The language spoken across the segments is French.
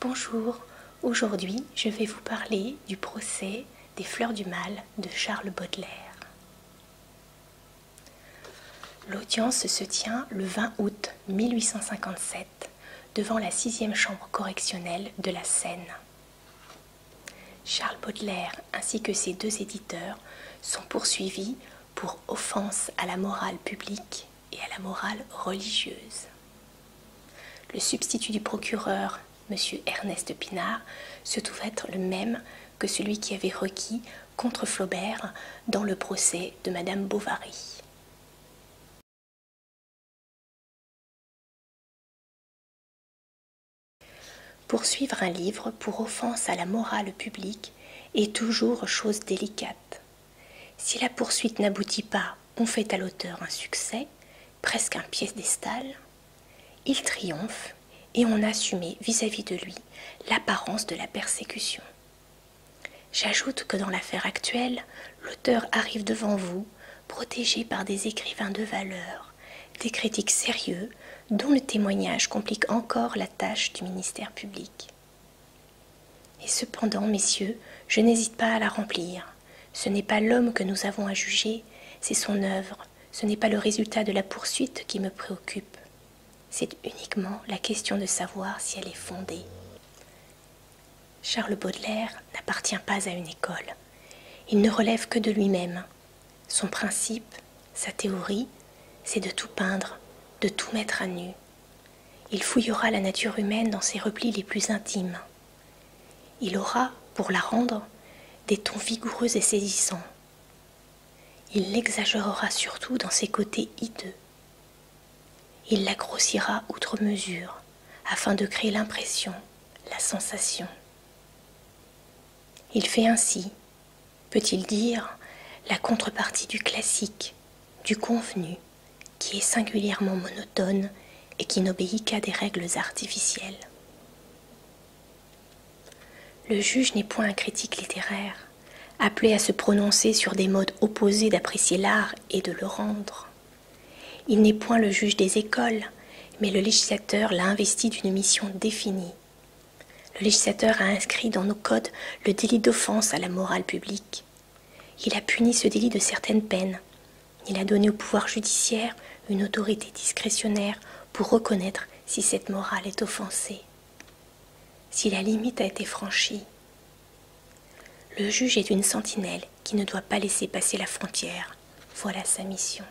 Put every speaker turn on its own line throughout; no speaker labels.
Bonjour, aujourd'hui je vais vous parler du procès des fleurs du mal de Charles Baudelaire. L'audience se tient le 20 août 1857 devant la sixième chambre correctionnelle de la Seine. Charles Baudelaire ainsi que ses deux éditeurs sont poursuivis pour offense à la morale publique et à la morale religieuse. Le substitut du procureur, M. Ernest Pinard, se trouve être le même que celui qui avait requis contre Flaubert dans le procès de Madame Bovary. Poursuivre un livre pour offense à la morale publique est toujours chose délicate. Si la poursuite n'aboutit pas, on fait à l'auteur un succès, presque un piédestal. Il triomphe et on a vis à -vis de lui l'apparence de la persécution. J'ajoute que dans l'affaire actuelle, l'auteur arrive devant vous, protégé par des écrivains de valeur, des critiques sérieux dont le témoignage complique encore la tâche du ministère public. Et cependant, messieurs, je n'hésite pas à la remplir. Ce n'est pas l'homme que nous avons à juger, c'est son œuvre, ce n'est pas le résultat de la poursuite qui me préoccupe. C'est uniquement la question de savoir si elle est fondée. Charles Baudelaire n'appartient pas à une école. Il ne relève que de lui-même, son principe, sa théorie, c'est de tout peindre, de tout mettre à nu. Il fouillera la nature humaine dans ses replis les plus intimes. Il aura, pour la rendre, des tons vigoureux et saisissants. Il l'exagérera surtout dans ses côtés hideux. Il la grossira outre mesure, afin de créer l'impression, la sensation. Il fait ainsi, peut-il dire, la contrepartie du classique, du convenu, qui est singulièrement monotone et qui n'obéit qu'à des règles artificielles. Le juge n'est point un critique littéraire, appelé à se prononcer sur des modes opposés d'apprécier l'art et de le rendre. Il n'est point le juge des écoles, mais le législateur l'a investi d'une mission définie, le législateur a inscrit dans nos codes le délit d'offense à la morale publique. Il a puni ce délit de certaines peines. Il a donné au pouvoir judiciaire une autorité discrétionnaire pour reconnaître si cette morale est offensée, si la limite a été franchie. Le juge est une sentinelle qui ne doit pas laisser passer la frontière. Voilà sa mission.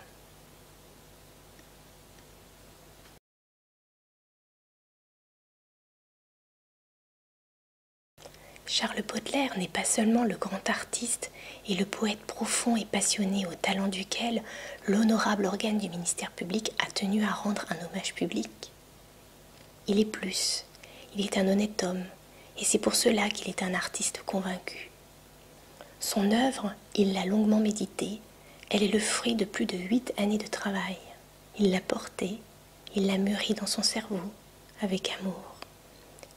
Charles Baudelaire n'est pas seulement le grand artiste et le poète profond et passionné au talent duquel l'honorable organe du ministère public a tenu à rendre un hommage public. Il est plus, il est un honnête homme, et c'est pour cela qu'il est un artiste convaincu. Son œuvre, il l'a longuement méditée, elle est le fruit de plus de huit années de travail. Il l'a portée, il l'a mûrie dans son cerveau, avec amour,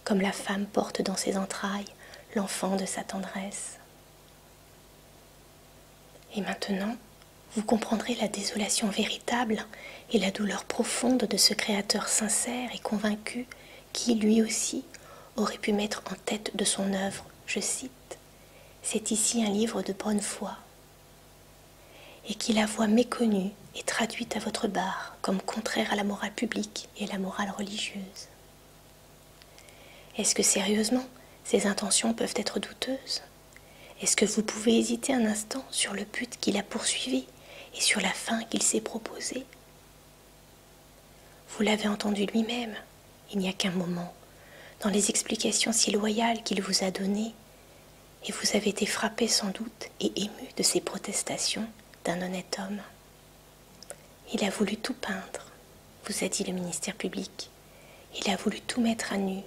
comme la femme porte dans ses entrailles l'enfant de sa tendresse. Et maintenant, vous comprendrez la désolation véritable et la douleur profonde de ce créateur sincère et convaincu qui, lui aussi, aurait pu mettre en tête de son œuvre, je cite, c'est ici un livre de bonne foi, et qui la voit méconnue et traduite à votre barre comme contraire à la morale publique et à la morale religieuse. Est-ce que sérieusement, ces intentions peuvent être douteuses Est-ce que vous pouvez hésiter un instant sur le but qu'il a poursuivi et sur la fin qu'il s'est proposée vous l'avez entendu lui-même, il n'y a qu'un moment, dans les explications si loyales qu'il vous a données, et vous avez été frappé sans doute et ému de ces protestations d'un honnête homme. Il a voulu tout peindre, vous a dit le ministère public. Il a voulu tout mettre à nu.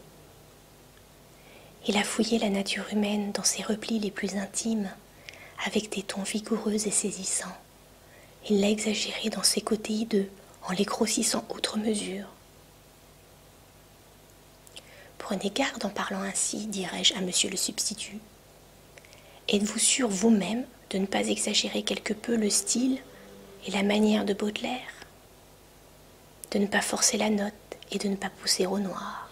Il a fouillé la nature humaine dans ses replis les plus intimes, avec des tons vigoureux et saisissants. Il l'a exagéré dans ses côtés hideux en les grossissant outre mesure. Prenez garde en parlant ainsi, » je à monsieur le substitut. Êtes-vous sûr vous-même de ne pas exagérer quelque peu le style et la manière de Baudelaire De ne pas forcer la note et de ne pas pousser au noir.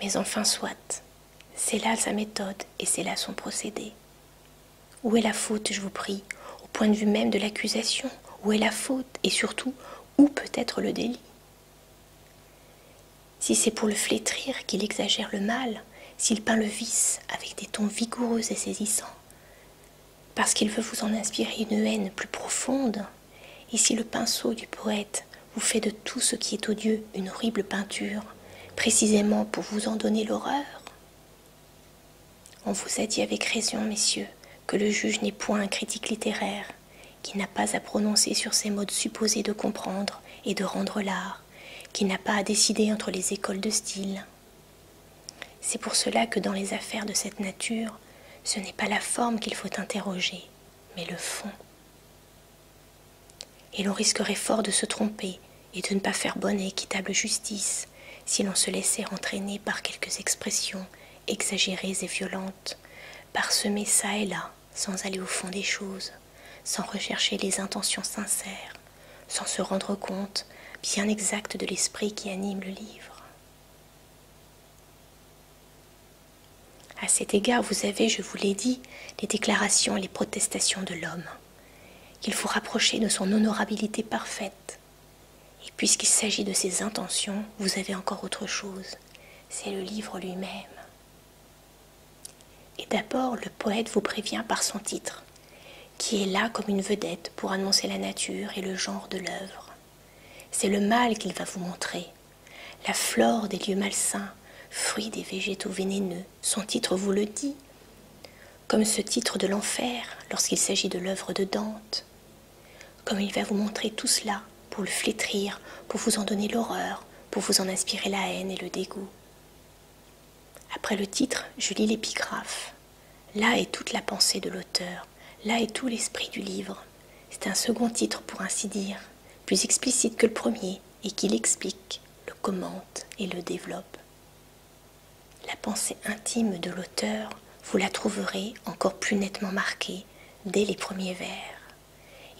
Mais enfin soit, c'est là sa méthode et c'est là son procédé. Où est la faute, je vous prie, au point de vue même de l'accusation Où est la faute et surtout, où peut être le délit Si c'est pour le flétrir qu'il exagère le mal, s'il peint le vice avec des tons vigoureux et saisissants, parce qu'il veut vous en inspirer une haine plus profonde, et si le pinceau du poète vous fait de tout ce qui est odieux une horrible peinture, précisément pour vous en donner l'horreur. On vous a dit avec raison, messieurs, que le juge n'est point un critique littéraire, qui n'a pas à prononcer sur ses modes supposés de comprendre et de rendre l'art, qui n'a pas à décider entre les écoles de style. C'est pour cela que dans les affaires de cette nature, ce n'est pas la forme qu'il faut interroger, mais le fond. Et l'on risquerait fort de se tromper et de ne pas faire bonne et équitable justice si l'on se laissait entraîner par quelques expressions exagérées et violentes, parsemées çà et là, sans aller au fond des choses, sans rechercher les intentions sincères, sans se rendre compte bien exact de l'esprit qui anime le livre. À cet égard, vous avez, je vous l'ai dit, les déclarations et les protestations de l'homme, qu'il faut rapprocher de son honorabilité parfaite. Et puisqu'il s'agit de ses intentions, vous avez encore autre chose, c'est le livre lui-même. Et d'abord, le poète vous prévient par son titre, qui est là comme une vedette pour annoncer la nature et le genre de l'œuvre. C'est le mal qu'il va vous montrer, la flore des lieux malsains, fruits des végétaux vénéneux, son titre vous le dit, comme ce titre de l'enfer lorsqu'il s'agit de l'œuvre de Dante, comme il va vous montrer tout cela pour le flétrir, pour vous en donner l'horreur, pour vous en inspirer la haine et le dégoût. Après le titre, je lis l'épigraphe. Là est toute la pensée de l'auteur, là est tout l'esprit du livre. C'est un second titre pour ainsi dire plus explicite que le premier et qui l'explique, le commente et le développe. La pensée intime de l'auteur, vous la trouverez encore plus nettement marquée dès les premiers vers.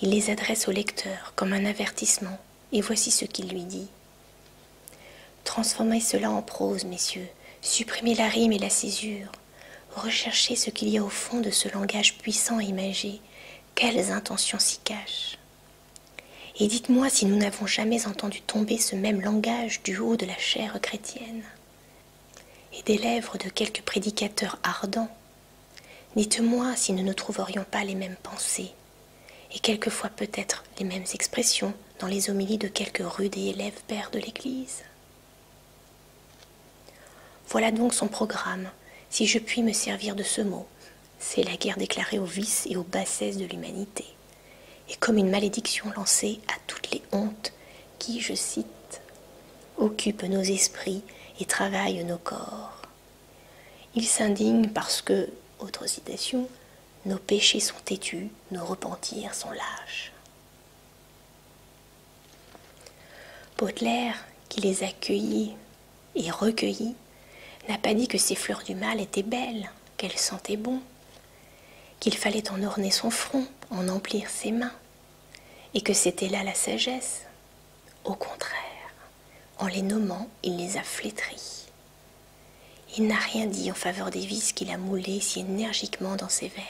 Il les adresse au lecteur comme un avertissement, et voici ce qu'il lui dit. Transformez cela en prose, messieurs, supprimez la rime et la césure, recherchez ce qu'il y a au fond de ce langage puissant et imagé, quelles intentions s'y cachent. Et dites-moi si nous n'avons jamais entendu tomber ce même langage du haut de la chair chrétienne, et des lèvres de quelque prédicateur ardent. Dites-moi si nous ne trouverions pas les mêmes pensées, et quelquefois peut-être les mêmes expressions dans les homélies de quelques rudes et élèves pères de l'Église. Voilà donc son programme, si je puis me servir de ce mot, c'est la guerre déclarée aux vices et aux bassesses de l'humanité, et comme une malédiction lancée à toutes les hontes qui, je cite, occupent nos esprits et travaillent nos corps. Ils s'indigne parce que, autre citation, nos péchés sont têtus, nos repentirs sont lâches. Baudelaire, qui les accueillit et recueilli, n'a pas dit que ces fleurs du mal étaient belles, qu'elles sentaient bon, qu'il fallait en orner son front, en emplir ses mains, et que c'était là la sagesse. Au contraire, en les nommant, il les a flétries. Il n'a rien dit en faveur des vices qu'il a moulés si énergiquement dans ses vers.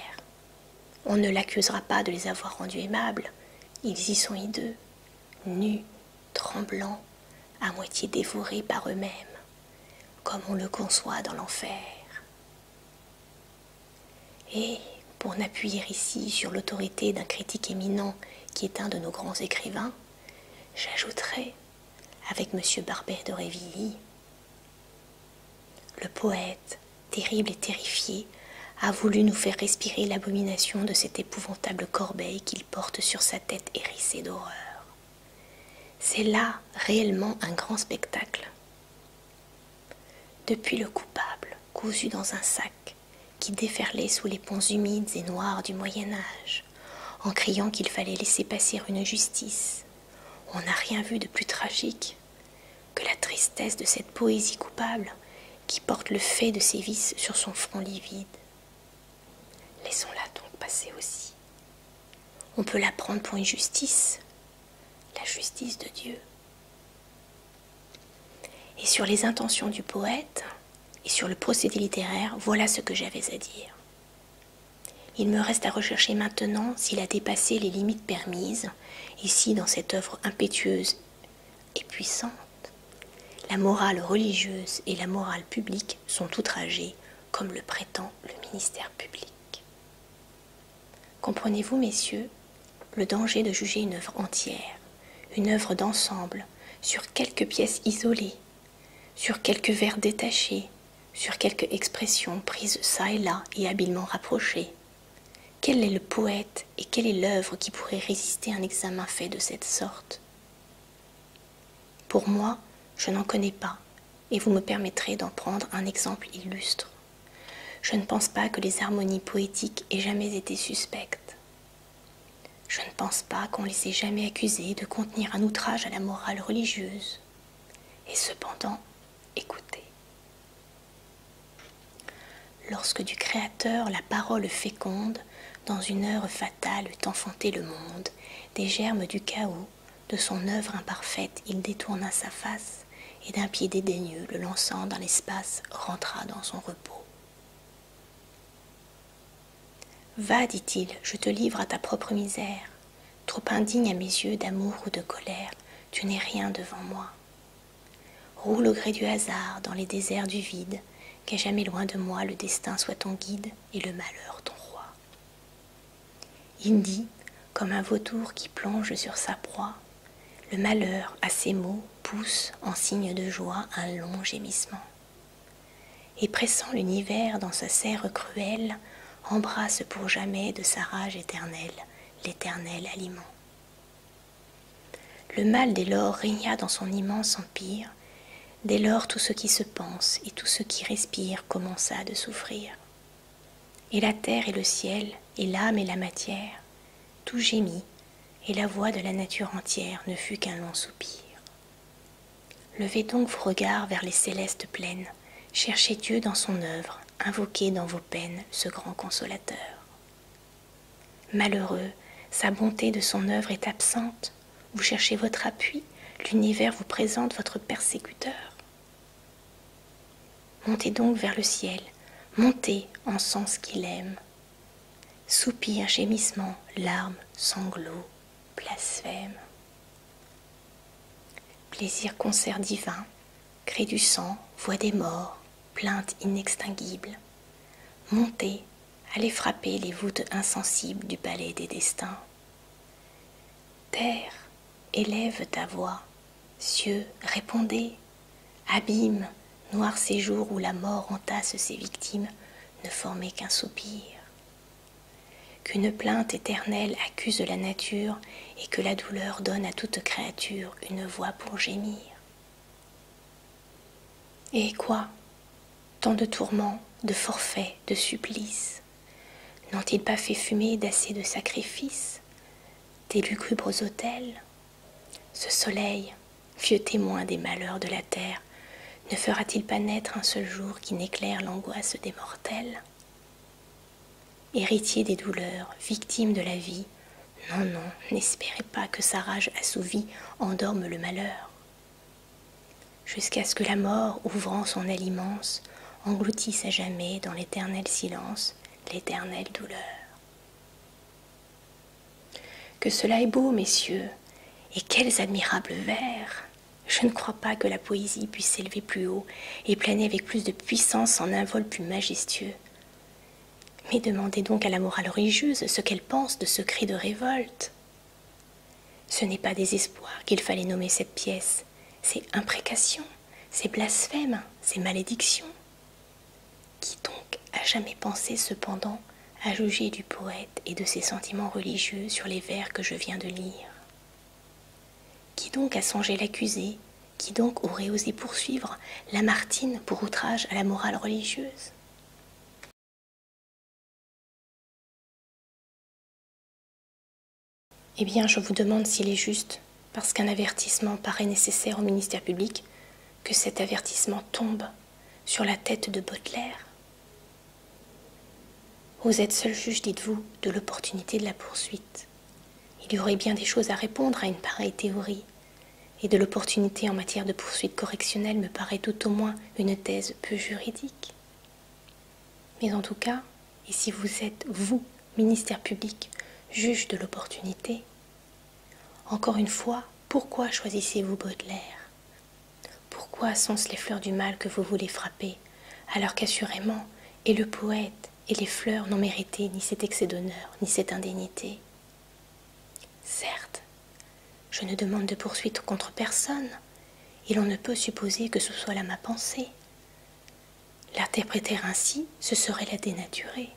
On ne l'accusera pas de les avoir rendus aimables, ils y sont hideux, nus, tremblants, à moitié dévorés par eux-mêmes, comme on le conçoit dans l'enfer. Et, pour n'appuyer ici sur l'autorité d'un critique éminent qui est un de nos grands écrivains, j'ajouterai, avec M. Barber de Révilly, le poète, terrible et terrifié, a voulu nous faire respirer l'abomination de cette épouvantable corbeille qu'il porte sur sa tête hérissée d'horreur. C'est là réellement un grand spectacle. Depuis le coupable, cousu dans un sac, qui déferlait sous les ponts humides et noirs du Moyen Âge, en criant qu'il fallait laisser passer une justice, on n'a rien vu de plus tragique que la tristesse de cette poésie coupable qui porte le fait de ses vices sur son front livide. Laissons-la donc passer aussi. On peut la prendre pour une justice, la justice de Dieu. Et sur les intentions du poète et sur le procédé littéraire, voilà ce que j'avais à dire. Il me reste à rechercher maintenant s'il a dépassé les limites permises, ici dans cette œuvre impétueuse et puissante. La morale religieuse et la morale publique sont outragées, comme le prétend le ministère public. Comprenez-vous, messieurs, le danger de juger une œuvre entière, une œuvre d'ensemble, sur quelques pièces isolées, sur quelques vers détachés, sur quelques expressions prises çà et là et habilement rapprochées. Quel est le poète et quelle est l'œuvre qui pourrait résister à un examen fait de cette sorte Pour moi, je n'en connais pas, et vous me permettrez d'en prendre un exemple illustre. Je ne pense pas que les harmonies poétiques aient jamais été suspectes. Je ne pense pas qu'on les ait jamais accusées de contenir un outrage à la morale religieuse. Et cependant, écoutez. Lorsque du Créateur la parole féconde, dans une heure fatale eut enfanté le monde, des germes du chaos, de son œuvre imparfaite, il détourna sa face, et d'un pied dédaigneux, le lançant dans l'espace, rentra dans son repos. Va, dit-il, je te livre à ta propre misère. Trop indigne à mes yeux d'amour ou de colère, tu n'es rien devant moi. Roule au gré du hasard dans les déserts du vide, qu'à jamais loin de moi le destin soit ton guide et le malheur ton roi. dit, comme un vautour qui plonge sur sa proie, le malheur à ses mots pousse en signe de joie un long gémissement. Et pressant l'univers dans sa serre cruelle, embrasse pour jamais de sa rage éternelle l'éternel aliment. Le mal dès lors régna dans son immense empire, dès lors tout ce qui se pense et tout ce qui respire commença de souffrir. Et la terre et le ciel, et l'âme et la matière, tout gémit, et la voix de la nature entière ne fut qu'un long soupir. Levez donc vos regards vers les célestes plaines, cherchez Dieu dans son œuvre, invoquez dans vos peines ce grand consolateur. Malheureux, sa bonté de son œuvre est absente. Vous cherchez votre appui, l'univers vous présente votre persécuteur. Montez donc vers le ciel, montez en sens qu'il aime. Soupir, gémissement, larmes, sanglots, blasphèmes. Plaisir concert divin, cri du sang, voix des morts, plainte inextinguible, montez, allez frapper les voûtes insensibles du palais des destins. Terre, élève ta voix, cieux, répondez, abîme, noir séjour où la mort entasse ses victimes, ne formez qu'un soupir. Qu'une plainte éternelle accuse la nature et que la douleur donne à toute créature une voix pour gémir. Et quoi Tant de tourments, de forfaits, de supplices N'ont-ils pas fait fumer d'assez de sacrifices Des lugubres autels Ce soleil, vieux témoin des malheurs de la terre, ne fera-t-il pas naître un seul jour qui n'éclaire l'angoisse des mortels Héritier des douleurs, victime de la vie, non, non, n'espérez pas que sa rage assouvie endorme le malheur. Jusqu'à ce que la mort, ouvrant son aile immense, engloutisse à jamais dans l'éternel silence l'éternelle douleur. Que cela est beau, messieurs, et quels admirables vers Je ne crois pas que la poésie puisse s'élever plus haut et planer avec plus de puissance en un vol plus majestueux. Mais demandez donc à la morale religieuse ce qu'elle pense de ce cri de révolte. Ce n'est pas désespoir qu'il fallait nommer cette pièce, c'est imprécations, c'est blasphèmes, c'est malédictions. Qui donc a jamais pensé cependant à juger du poète et de ses sentiments religieux sur les vers que je viens de lire Qui donc a songé l'accusé qui donc aurait osé poursuivre Lamartine pour outrage à la morale religieuse Eh bien, je vous demande s'il est juste, parce qu'un avertissement paraît nécessaire au ministère public, que cet avertissement tombe sur la tête de Baudelaire. Vous êtes seul juge, dites-vous, de l'opportunité de la poursuite. Il y aurait bien des choses à répondre à une pareille théorie, et de l'opportunité en matière de poursuite correctionnelle me paraît tout au moins une thèse peu juridique. Mais en tout cas, et si vous êtes, vous, ministère public, juge de l'opportunité, encore une fois, pourquoi choisissez-vous Baudelaire Pourquoi sont-ce les fleurs du mal que vous voulez frapper, alors qu'assurément, et le poète et les fleurs n'ont mérité ni cet excès d'honneur, ni cette indignité Certes, je ne demande de poursuite contre personne, et l'on ne peut supposer que ce soit là ma pensée. L'interpréter ainsi, ce serait la dénaturer.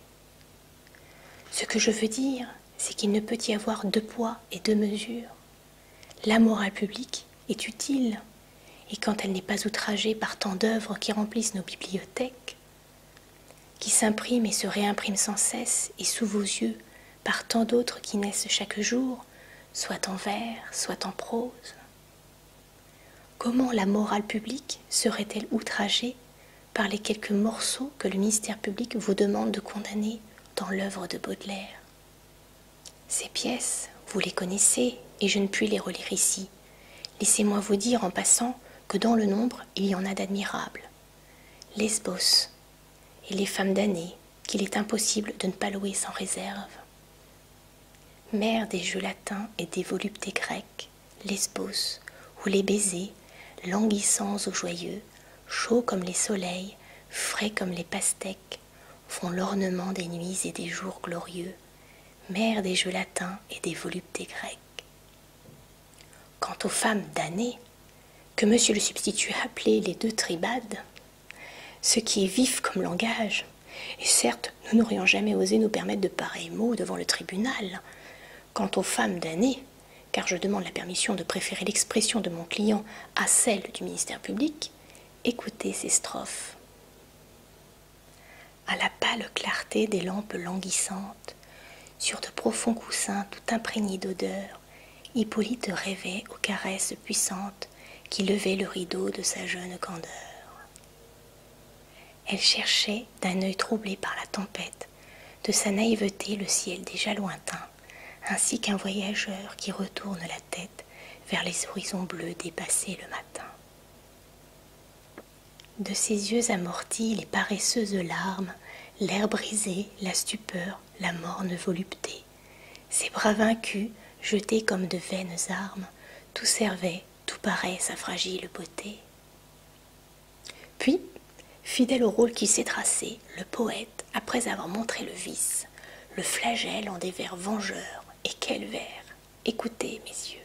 Ce que je veux dire, c'est qu'il ne peut y avoir deux poids et deux mesures. La morale publique est utile, et quand elle n'est pas outragée par tant d'œuvres qui remplissent nos bibliothèques, qui s'imprime et se réimprime sans cesse et sous vos yeux par tant d'autres qui naissent chaque jour, soit en vers, soit en prose. Comment la morale publique serait-elle outragée par les quelques morceaux que le ministère public vous demande de condamner dans l'œuvre de Baudelaire Ces pièces, vous les connaissez et je ne puis les relire ici. Laissez-moi vous dire en passant que dans le nombre il y en a d'admirables. Lesbos et les femmes d'année, qu'il est impossible de ne pas louer sans réserve. Mère des jeux latins et des voluptés grecques, Lesbos, où les baisers, languissants ou joyeux, chauds comme les soleils, frais comme les pastèques, font l'ornement des nuits et des jours glorieux, mère des jeux latins et des voluptés grecques. Quant aux femmes damnées, que monsieur le substitut appelait les deux tribades, ce qui est vif comme langage, et certes, nous n'aurions jamais osé nous permettre de pareils mots devant le tribunal. Quant aux femmes damnées, car je demande la permission de préférer l'expression de mon client à celle du ministère public, écoutez ces strophes à la pâle clarté des lampes languissantes, sur de profonds coussins tout imprégnés d'odeurs, Hippolyte rêvait aux caresses puissantes qui levaient le rideau de sa jeune candeur. Elle cherchait, d'un œil troublé par la tempête, de sa naïveté le ciel déjà lointain, ainsi qu'un voyageur qui retourne la tête vers les horizons bleus dépassés le matin. De ses yeux amortis, les paresseuses larmes, l'air brisé, la stupeur, la morne volupté. Ses bras vaincus, jetés comme de vaines armes, tout servait, tout paraît sa fragile beauté. Puis, fidèle au rôle qui s'est tracé, le poète, après avoir montré le vice, le flagelle en des vers vengeurs, et quel vers écoutez mes yeux.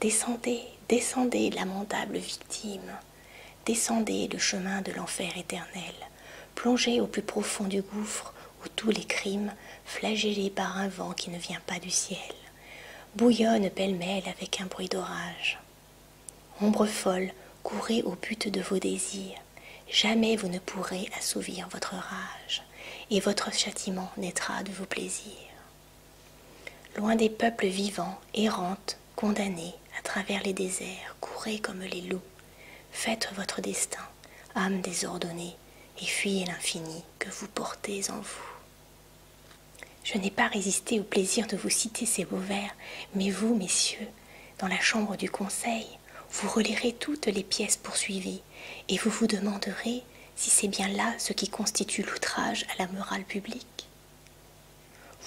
Descendez, descendez, lamentable victime, descendez le chemin de l'enfer éternel, plongez au plus profond du gouffre où tous les crimes, flagellés par un vent qui ne vient pas du ciel, bouillonnent pêle-mêle avec un bruit d'orage. Ombre folle, courez au but de vos désirs, jamais vous ne pourrez assouvir votre rage, et votre châtiment naîtra de vos plaisirs. Loin des peuples vivants, errantes, condamnées à travers les déserts, courez comme les loups, faites votre destin, âme désordonnée, et fuyez l'infini que vous portez en vous. Je n'ai pas résisté au plaisir de vous citer ces beaux vers, mais vous, messieurs, dans la chambre du conseil, vous relirez toutes les pièces poursuivies, et vous vous demanderez si c'est bien là ce qui constitue l'outrage à la morale publique.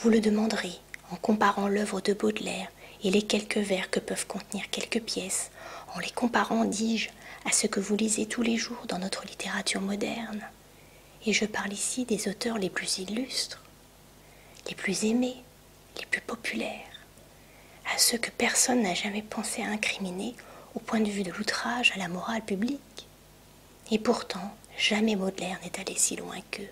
Vous le demanderez en comparant l'œuvre de Baudelaire et les quelques vers que peuvent contenir quelques pièces, en les comparant, dis-je, à ce que vous lisez tous les jours dans notre littérature moderne. Et je parle ici des auteurs les plus illustres, les plus aimés, les plus populaires, à ceux que personne n'a jamais pensé à incriminer au point de vue de l'outrage à la morale publique. Et pourtant, jamais Baudelaire n'est allé si loin qu'eux.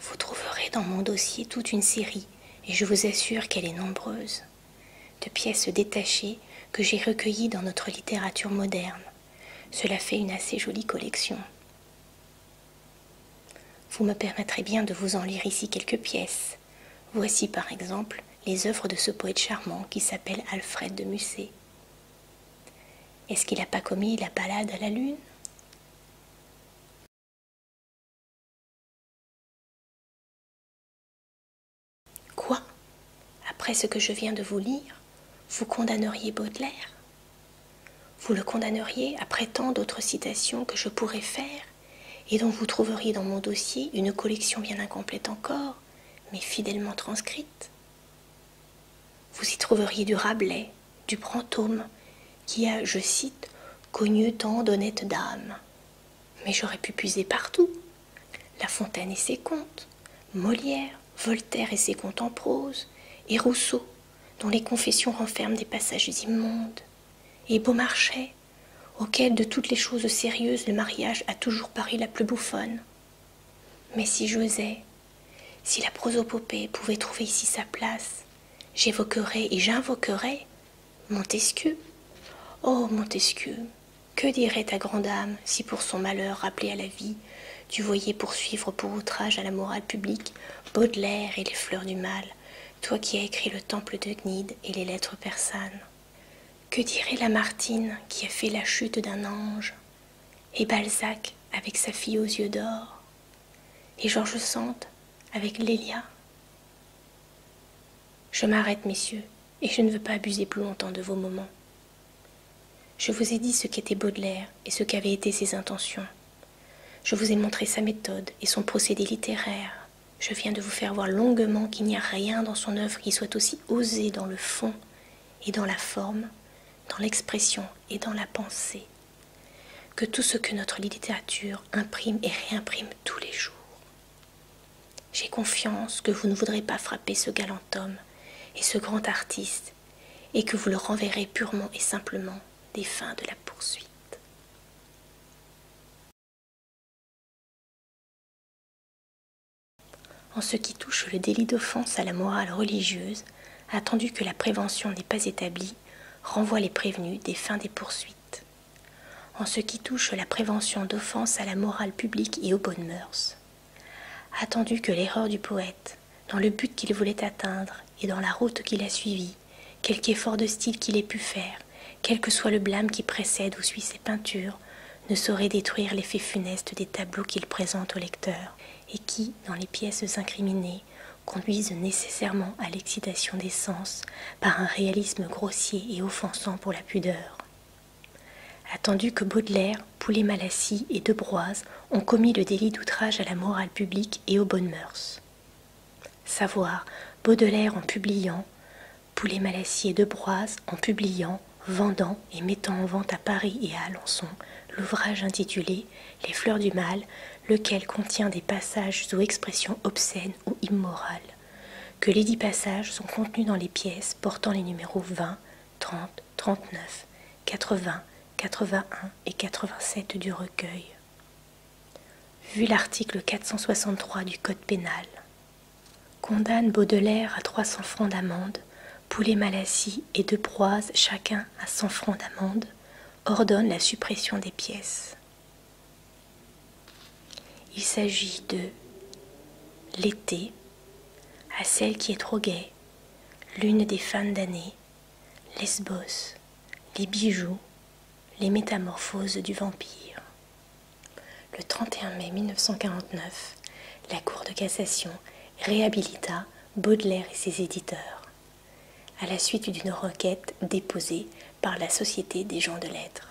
Vous trouverez dans mon dossier toute une série, et je vous assure qu'elle est nombreuse, de pièces détachées que j'ai recueillies dans notre littérature moderne. Cela fait une assez jolie collection. Vous me permettrez bien de vous en lire ici quelques pièces. Voici par exemple les œuvres de ce poète charmant qui s'appelle Alfred de Musset. Est-ce qu'il n'a pas commis la balade à la lune Quoi Après ce que je viens de vous lire, vous condamneriez Baudelaire Vous le condamneriez après tant d'autres citations que je pourrais faire et dont vous trouveriez dans mon dossier une collection bien incomplète encore, mais fidèlement transcrite. Vous y trouveriez du Rabelais, du Brantôme, qui a, je cite, connu tant d'honnêtes dames. Mais j'aurais pu puiser partout. La Fontaine et ses contes, Molière, Voltaire et ses contes en prose, et Rousseau, dont les confessions renferment des passages immondes, et Beaumarchais, auquel de toutes les choses sérieuses le mariage a toujours paru la plus bouffonne. Mais si j'osais, si la prosopopée pouvait trouver ici sa place, j'évoquerais et j'invoquerais Montesquieu. Oh Montesquieu, que dirait ta grande âme si pour son malheur rappelé à la vie, tu voyais poursuivre pour outrage à la morale publique Baudelaire et les fleurs du mal, toi qui as écrit le temple de Gnide et les lettres persanes que dirait Lamartine qui a fait la chute d'un ange, et Balzac avec sa fille aux yeux d'or, et Georges Sand avec Lélia Je m'arrête, messieurs, et je ne veux pas abuser plus longtemps de vos moments. Je vous ai dit ce qu'était Baudelaire et ce qu'avaient été ses intentions. Je vous ai montré sa méthode et son procédé littéraire. Je viens de vous faire voir longuement qu'il n'y a rien dans son œuvre qui soit aussi osé dans le fond et dans la forme, dans l'expression et dans la pensée, que tout ce que notre littérature imprime et réimprime tous les jours. J'ai confiance que vous ne voudrez pas frapper ce galant homme et ce grand artiste, et que vous le renverrez purement et simplement des fins de la poursuite. En ce qui touche le délit d'offense à la morale religieuse, attendu que la prévention n'est pas établie, renvoie les prévenus des fins des poursuites. En ce qui touche la prévention d'offense à la morale publique et aux bonnes mœurs, attendu que l'erreur du poète, dans le but qu'il voulait atteindre et dans la route qu'il a suivie, quelque effort de style qu'il ait pu faire, quel que soit le blâme qui précède ou suit ses peintures, ne saurait détruire l'effet funeste des tableaux qu'il présente au lecteur, et qui, dans les pièces incriminées, conduisent nécessairement à l'excitation des sens par un réalisme grossier et offensant pour la pudeur. Attendu que Baudelaire, Poulet-Malassis et De ont commis le délit d'outrage à la morale publique et aux bonnes mœurs. Savoir, Baudelaire en publiant Poulet Malassier de Broise en publiant, vendant et mettant en vente à Paris et à Alençon l'ouvrage intitulé Les fleurs du mal, lequel contient des passages ou expressions obscènes ou immorales. Que les dix passages sont contenus dans les pièces portant les numéros vingt, 20, 30, 39, 80, 81 et 87 du recueil vu l'article 463 du Code pénal. Condamne Baudelaire à 300 francs d'amende, Poulet Malassis et De Proise chacun à 100 francs d'amende, ordonne la suppression des pièces. Il s'agit de l'été, à celle qui est trop gaie, l'une des fins d'année, Lesbos, les bijoux, les métamorphoses du vampire. Le 31 mai 1949, la Cour de cassation réhabilita Baudelaire et ses éditeurs, à la suite d'une requête déposée par la Société des gens de lettres.